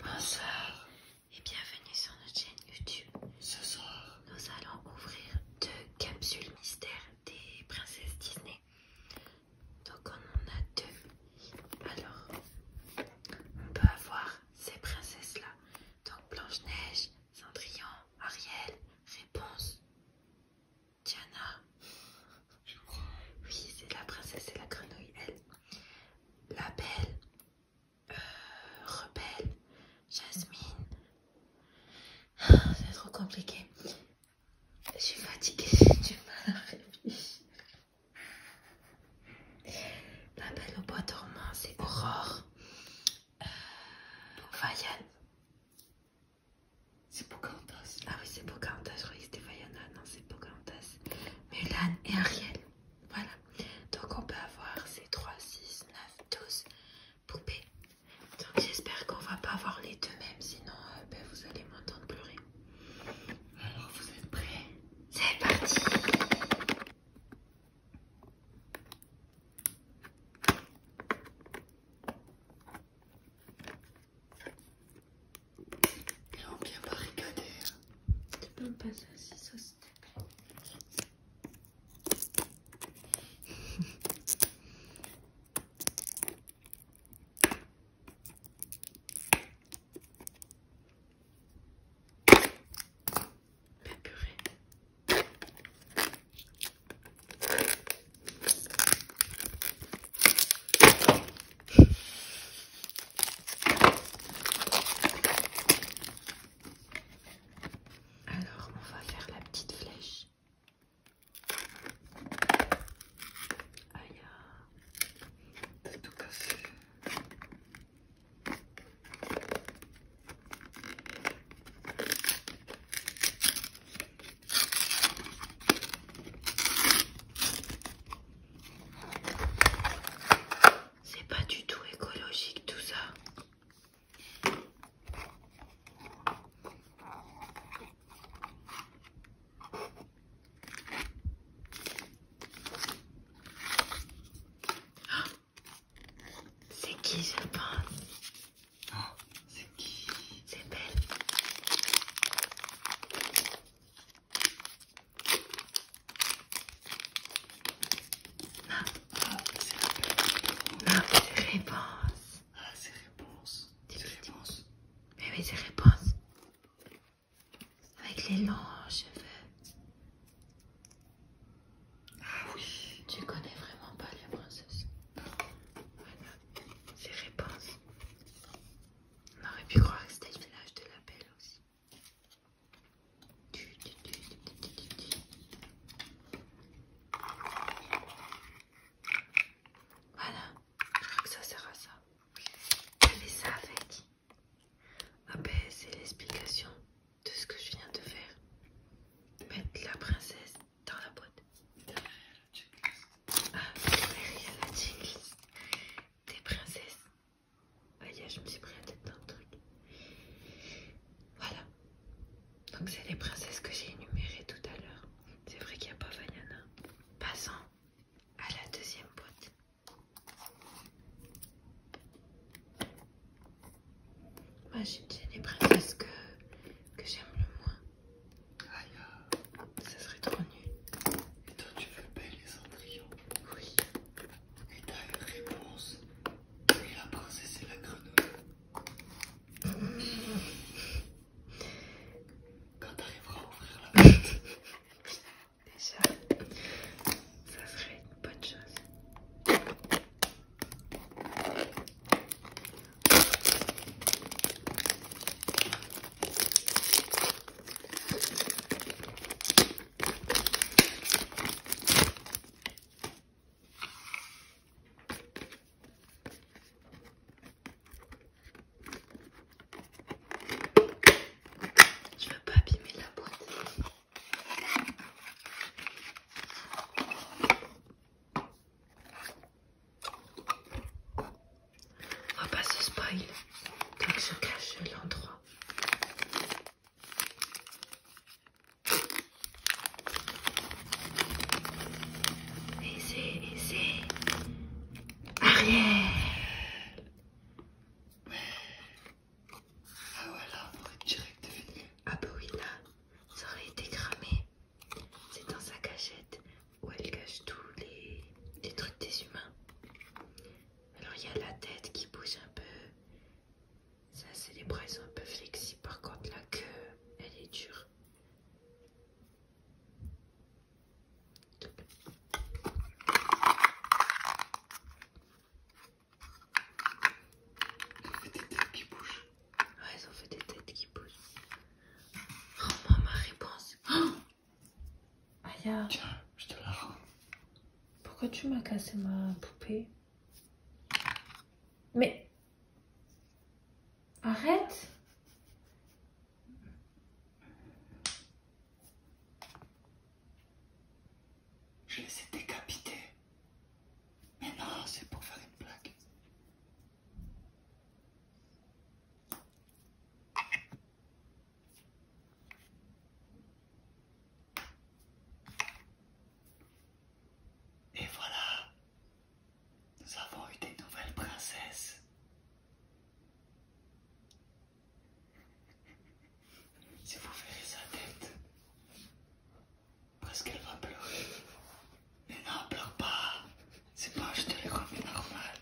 Bonsoir et bienvenue sur notre chaîne YouTube. Ce soir, nous allons ouvrir deux capsules mystères des princesses Disney. Donc on en a deux. Alors, on peut avoir ces princesses-là. Donc Blanche-Neige, Cendrillon, Ariel, Réponse, Diana. Oui, c'est la princesse et la grenouille, elle. La Belle, euh, Rebelle, Jasmine. Ah, c'est trop compliqué. Je suis fatiguée, j'ai du mal à réfléchir. La Belle au bois dormant, c'est Aurore. Euh, Vaiane. C'est Pocahontas. Ah oui, c'est Pocahontas. Je croyais que c'était Vaiana. Non, c'est Pocantas. Mulan et Ariel. Voilà. Donc on peut avoir ces 3, 6, 9, 12 poupées. Donc j'espère qu'on ne va pas avoir les deux mêmes, sinon euh, ben, vous allez m'entendre pleurer. Alors vous êtes prêts C'est parti ils vont bien barricadé. Tu peux passer aussi ça s'il Alors, on va faire la petite flèche. Ah. C'est pas du tout écologique tout ça. Ah, c'est qui je pense ah, C'est qui C'est belle. Ah, c'est réponse. Ah, c'est réponse. C'est réponse. Mais oui, c'est réponse. Avec les longs cheveux. Ah oui. Tu connais vraiment pas les princesses. Voilà. C'est réponse. On aurait pu croire que c'était le village de la Belle aussi. Voilà, je crois que ça sert à ça. mais ça avec. Ah ben, c'est l'explication de ce que je viens de faire. Mettre la princesse dans la boîte. Ah, derrière la des princesses aïe, je me suis pris la tête le truc. Voilà. Donc c'est les princesses que j'ai énumérées tout à l'heure. C'est vrai qu'il n'y a pas Vaiana. Passons à la deuxième boîte. Moi j'ai les princesses que, que j'aime le moins. Aïe. Ça serait trop nul. Et toi tu veux belles les cendrillon Oui. Et t'as une réponse. Et la princesse et la grenouille. Quand t'arriveras à ouvrir la porte. Déjà, ça serait une bonne chose. Je veux pas abîmer la boîte. On va pas se spoil, que je cache l'endroit noir. Et c'est Ariel. Ouais. Ah voilà, on être direct de Ah bah oui là, ça aurait été cramé. C'est dans sa cachette où elle cache tous les trucs des humains. Alors il y a la tête qui bouge un peu. Ça c'est les bras ils sont un peu flexibles. Par contre la queue, elle est dure. Ils ont fait des têtes qui bougent. Ouais, ils ont fait des têtes qui bougent. Oh ma réponse. Oh Aya. je te la Pourquoi tu m'as cassé ma poupée Mais. Arrête Je les ai Mais non, c'est pour faire une blague. Et voilà, nous avons eu des nouvelles princesses. Si vous verrez sa tête, presque elle va pleurer. Mais non, pleure pas, c'est pas, je te les normal.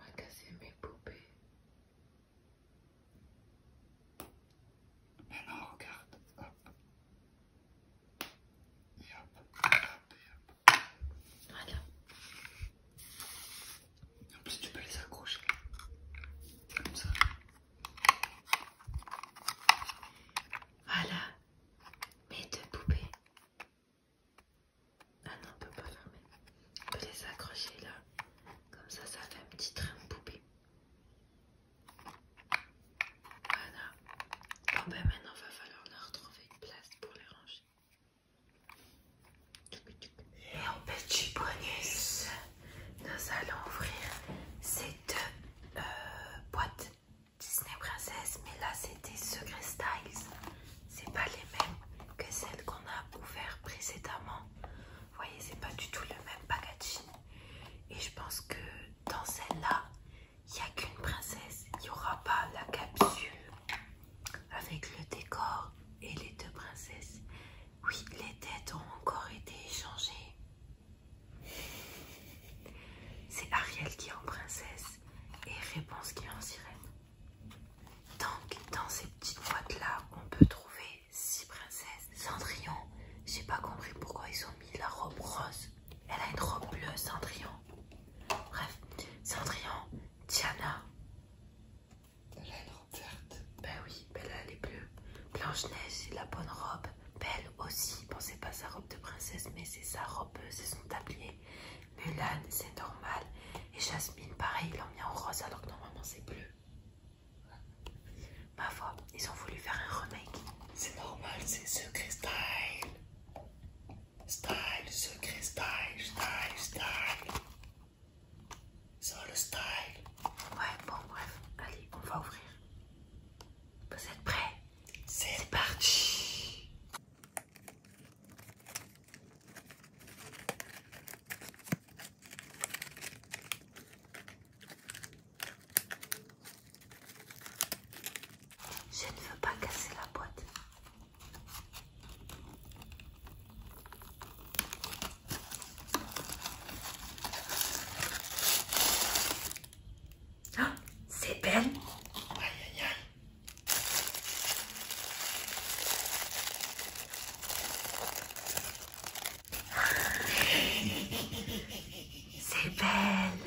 A casser mes poupées. Maintenant, regarde, hop. hop, En plus, tu peux les accrocher. Comme ça. Voilà mes deux poupées. Ah non, on peut pas fermer. On peut les accrocher là. Comme ça, ça fait un petit train de poupée. Voilà. Bon ben maintenant, il va falloir leur trouver une place pour les ranger. Et en petit bonus, nous allons ouvrir cette euh, boîte Disney Princess. Mais là, c'était Secret Styles c'est pas les mêmes que celles qu'on a ouvert précédemment. Vous voyez, c'est pas du tout le même packaging. Et je pense que dans celle-là, il n'y a qu'une princesse. Il n'y aura pas la capsule avec le décor et les deux princesses. Oui, les têtes ont encore été échangées. C'est Ariel qui est en princesse et Réponse qui est en sirène. Donc, dans ces petites boîtes-là, on peut trouver six princesses. Cendrillon, j'ai pas compris pourquoi ils ont mis la robe rose. Elle a une robe bleue, Cendrillon. Bref, Cendrillon, Diana. Elle a une robe verte. Ben oui, belle elle est bleue. Blanche-Neige, la bonne robe. Belle aussi, pensez pas pas sa robe de princesse mais c'est sa robe, c'est son tablier. Mulan, c'est normal. Et Jasmine, pareil, ils l'ont mis en rose alors que normalement c'est bleu. Ma foi, ils ont voulu faire un remake. C'est normal, c'est secret style. Style, secret style, style, style. Ça le style. Ouais, bon, bref. Allez, on va ouvrir. Vous êtes prêts C'est parti je ne veux pas casser la boîte. Ah, c'est belle. C'est belle.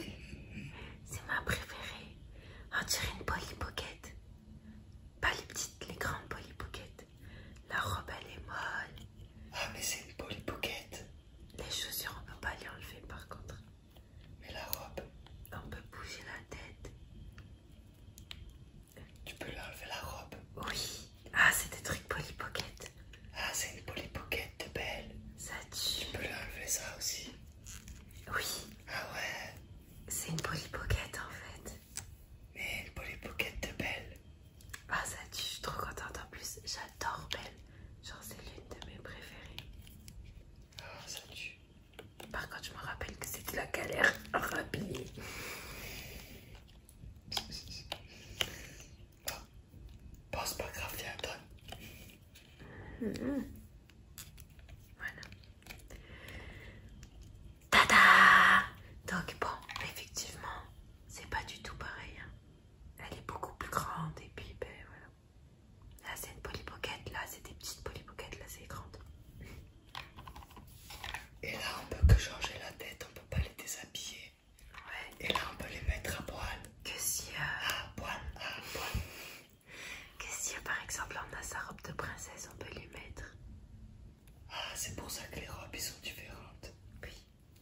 C'est ma préférée. On dirait une polypocket. Pas les petites, les grandes polypockets. La robe, elle est molle. Ah, mais c'est une polypocket. Les chaussures, on peut pas les enlever par contre. Mais la robe. On peut bouger la tête. Tu peux enlever la robe Oui. Ah, c'est des trucs polypockets. Ah, c'est une Polly de belle. Ça tue. Tu peux enlever ça aussi Oui. Ah ouais. C'est une Polly en fait. Mais une Polly de belle. Ah, ça tue. Je suis trop contente en plus. J'adore Belle. Genre, c'est l'une de mes préférées. Ah, ça tue. Par contre, je me rappelle que c'était la galère rapide. rhabiller. pas grave, mhm. Voilà. Tada! Donc, bon, effectivement, c'est pas du tout pareil. Hein. Elle est beaucoup plus grande et puis, ben voilà. Là, c'est une polypocket, là, c'est des petites polypockets, là, c'est grande. Et là, on peut que changer la tête, on peut pas les déshabiller. Ouais. Et là, on peut les mettre à poil. Que si. Euh, à poil, à poil. Que si, euh, par exemple, on a sa robe de princesse, on peut les mettre. Ah, c'est pour ça que les robes sont différentes. Oui.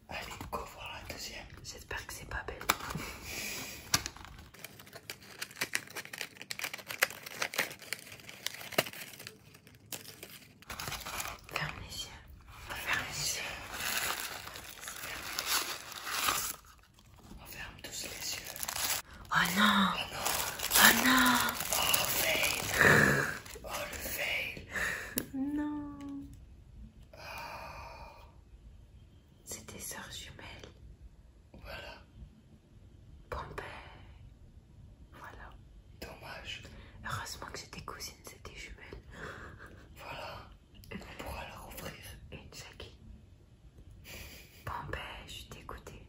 Allez, go voir la deuxième. J'espère que c'est pas belle. Ferme les yeux. Ferme les yeux. On ferme tous les yeux. Oh non Oh non Oh non Oh fail Oh le fail Non C'était oh. C'est tes jumelles. Voilà. Pompée, voilà. Dommage. Heureusement que c'était cousine, c'était jumelle. Voilà, on pourra la rouvrir. Une Jackie. Pompée, je t'ai écouté.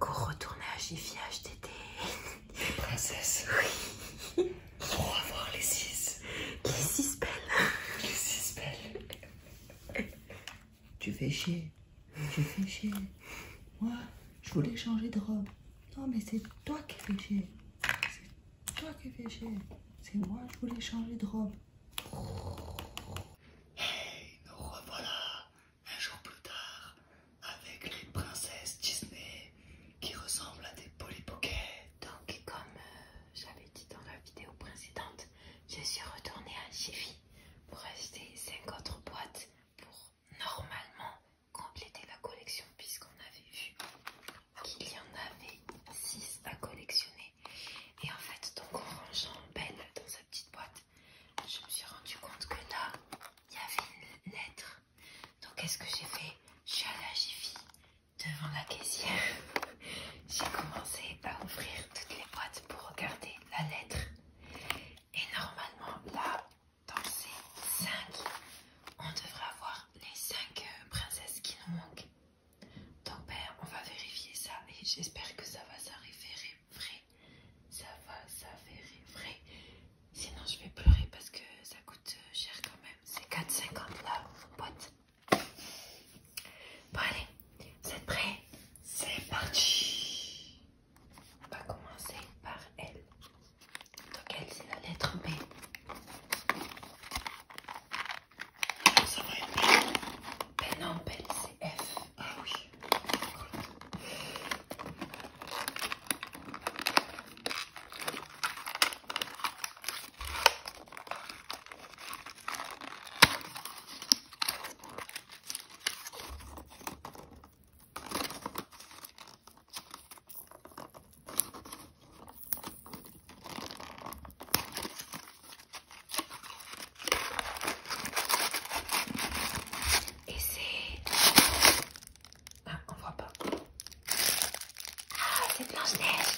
Go retourner à Jiffy acheter des... princesse Oui. Pour avoir les six. Les six belles. Les six belles. Tu fais chier. Tu fais chier. Moi, je voulais changer de robe. Non, mais c'est toi qui fais chier. C'est toi qui fais chier. C'est moi, je voulais changer de robe. Hey, nous revoilà un jour plus tard avec les princesses Disney qui ressemblent à des polypockets. Donc, comme euh, j'avais dit dans la vidéo précédente, je suis retournée à Chiffy pour acheter 5 autres boîtes pour normalement compléter la collection puisqu'on avait vu qu'il y en avait 6 à collectionner. Et en fait, donc en rangeant Belle dans sa petite boîte, je me suis rendu compte que là, il y avait une lettre. Donc qu'est-ce que j'ai fait Je suis allée à Jiffy devant la caissière. j'ai commencé à ouvrir toutes les boîtes pour regarder la lettre. Et normalement, là, dans ces 5, on devrait avoir les cinq euh, princesses qui nous manquent. Donc, père, ben, on va vérifier ça et j'espère que ça va s'avérer vrai. Ça va s'avérer vrai. Sinon, je vais pleurer parce que ça coûte euh, cher quand même. C'est 4,50 là, Bon, allez, vous êtes prêts C'est parti on va commencer par L. Donc L, c'est la lettre B. Ça va être Ben non, B, ben, c'est F. Ah oui. Et c'est... Ah, on voit pas. Ah, c'est Blanche-Neige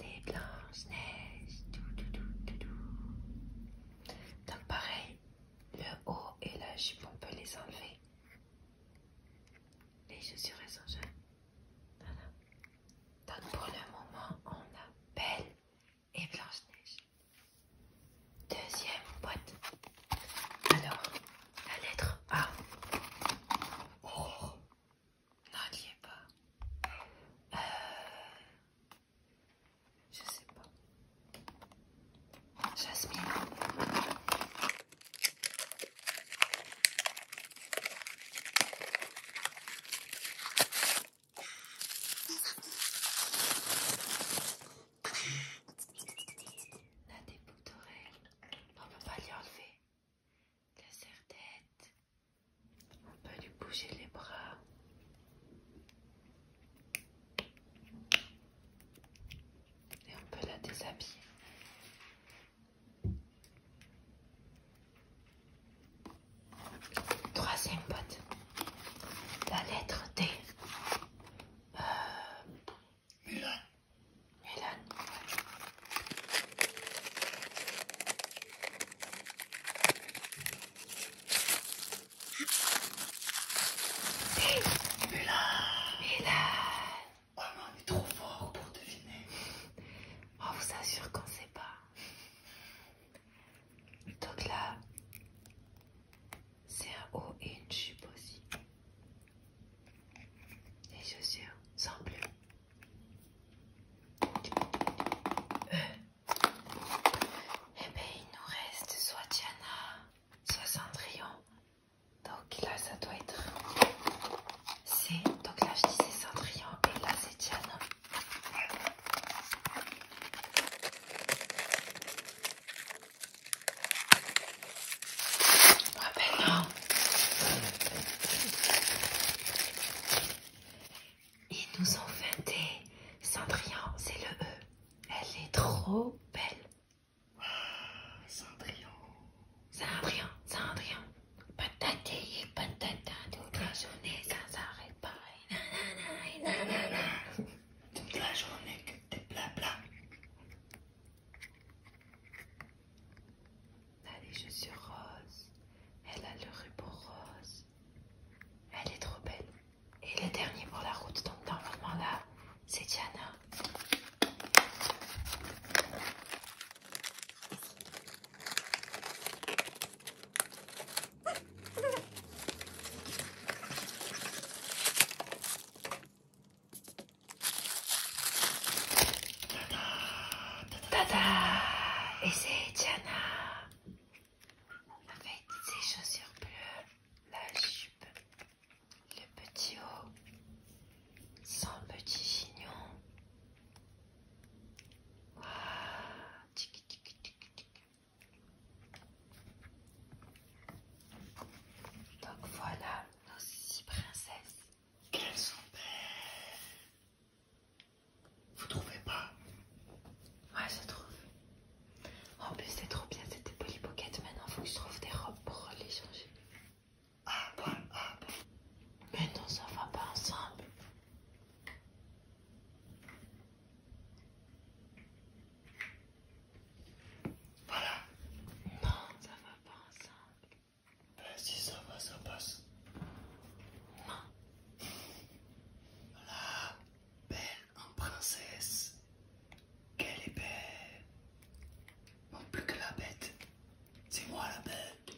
des blanches neiges. Tout, Donc pareil, le haut et la jupe, on peut les enlever. Les chaussures sont jeunes. Voilà. Donc pour le moment, on a Belle et Blanche-Neige. Deuxième boîte. Alors, la lettre A. Oh, non, il pas. Euh, je sais pas. Jasmine. On des boucles d'oreilles. On ne peut pas les enlever. La serre tête. On peut lui bouger les bras. Et on peut la déshabiller. Troisième botte. La lettre T. Et là, Mélane Oh mais est trop fort pour deviner On vous assure qu'on sait pas Donc là C'est un haut et une jupe aussi Les chaussures sans plus eh ben il nous reste soit Diana, soit Cendrillon. Donc là, ça doit être C. Donc là, je dis c'est Cendrillon et là, c'est Diana. ben ils nous ont fait des Cendrillon, c'est le E. Elle est trop belle. Ah, Cendrillon Cendrillon. Cendrillon, Cendrillon. et patata, toute la journée, ça s'arrête pas. Toute la journée que t'es blabla. Elle je suis rose, Elle a le ruban rose. Elle est trop belle. Et le dernier pour la route, donc dans moment là, c'est Diana. Et c'est Diana avec ses chaussures bleues, la jupe, le petit haut, son petit chignon. tik, Donc voilà nos six princesses. Qu'elles sont belles. Vous trouvez pas Ouais, je trouve. En plus, c'est trop bien, c'était Polly Maintenant, faut que je trouve des robes pour les changer. Ah bon, bah, ah, bah. Mais non, ça va pas ensemble. Voilà. Non, ça va pas ensemble. Bah si ça va, ça passe. Voilà, belle en princesse. Quelle est belle. Non plus que la bête. C'est moi la bête.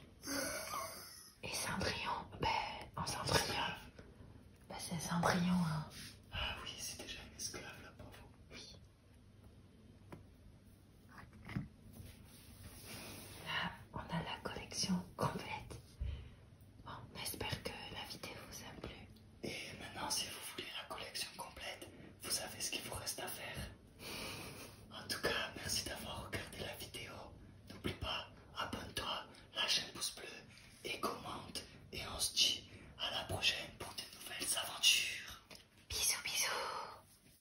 Et Cendrillon, ben bah, en Bah c'est Cendrillon hein. Ah oui, c'est déjà une esclave là, pauvre. Oui. Là, on a la collection complète. Bon, j'espère que la vidéo vous a plu. Et maintenant, si vous voulez la collection complète, vous savez ce qu'il vous reste à faire. En tout cas, merci d'avoir regardé la vidéo. N'oublie pas, abonne-toi, lâche un pouce bleu et commente. Et on se dit à la prochaine pour de nouvelles aventures. Bisous, bisous.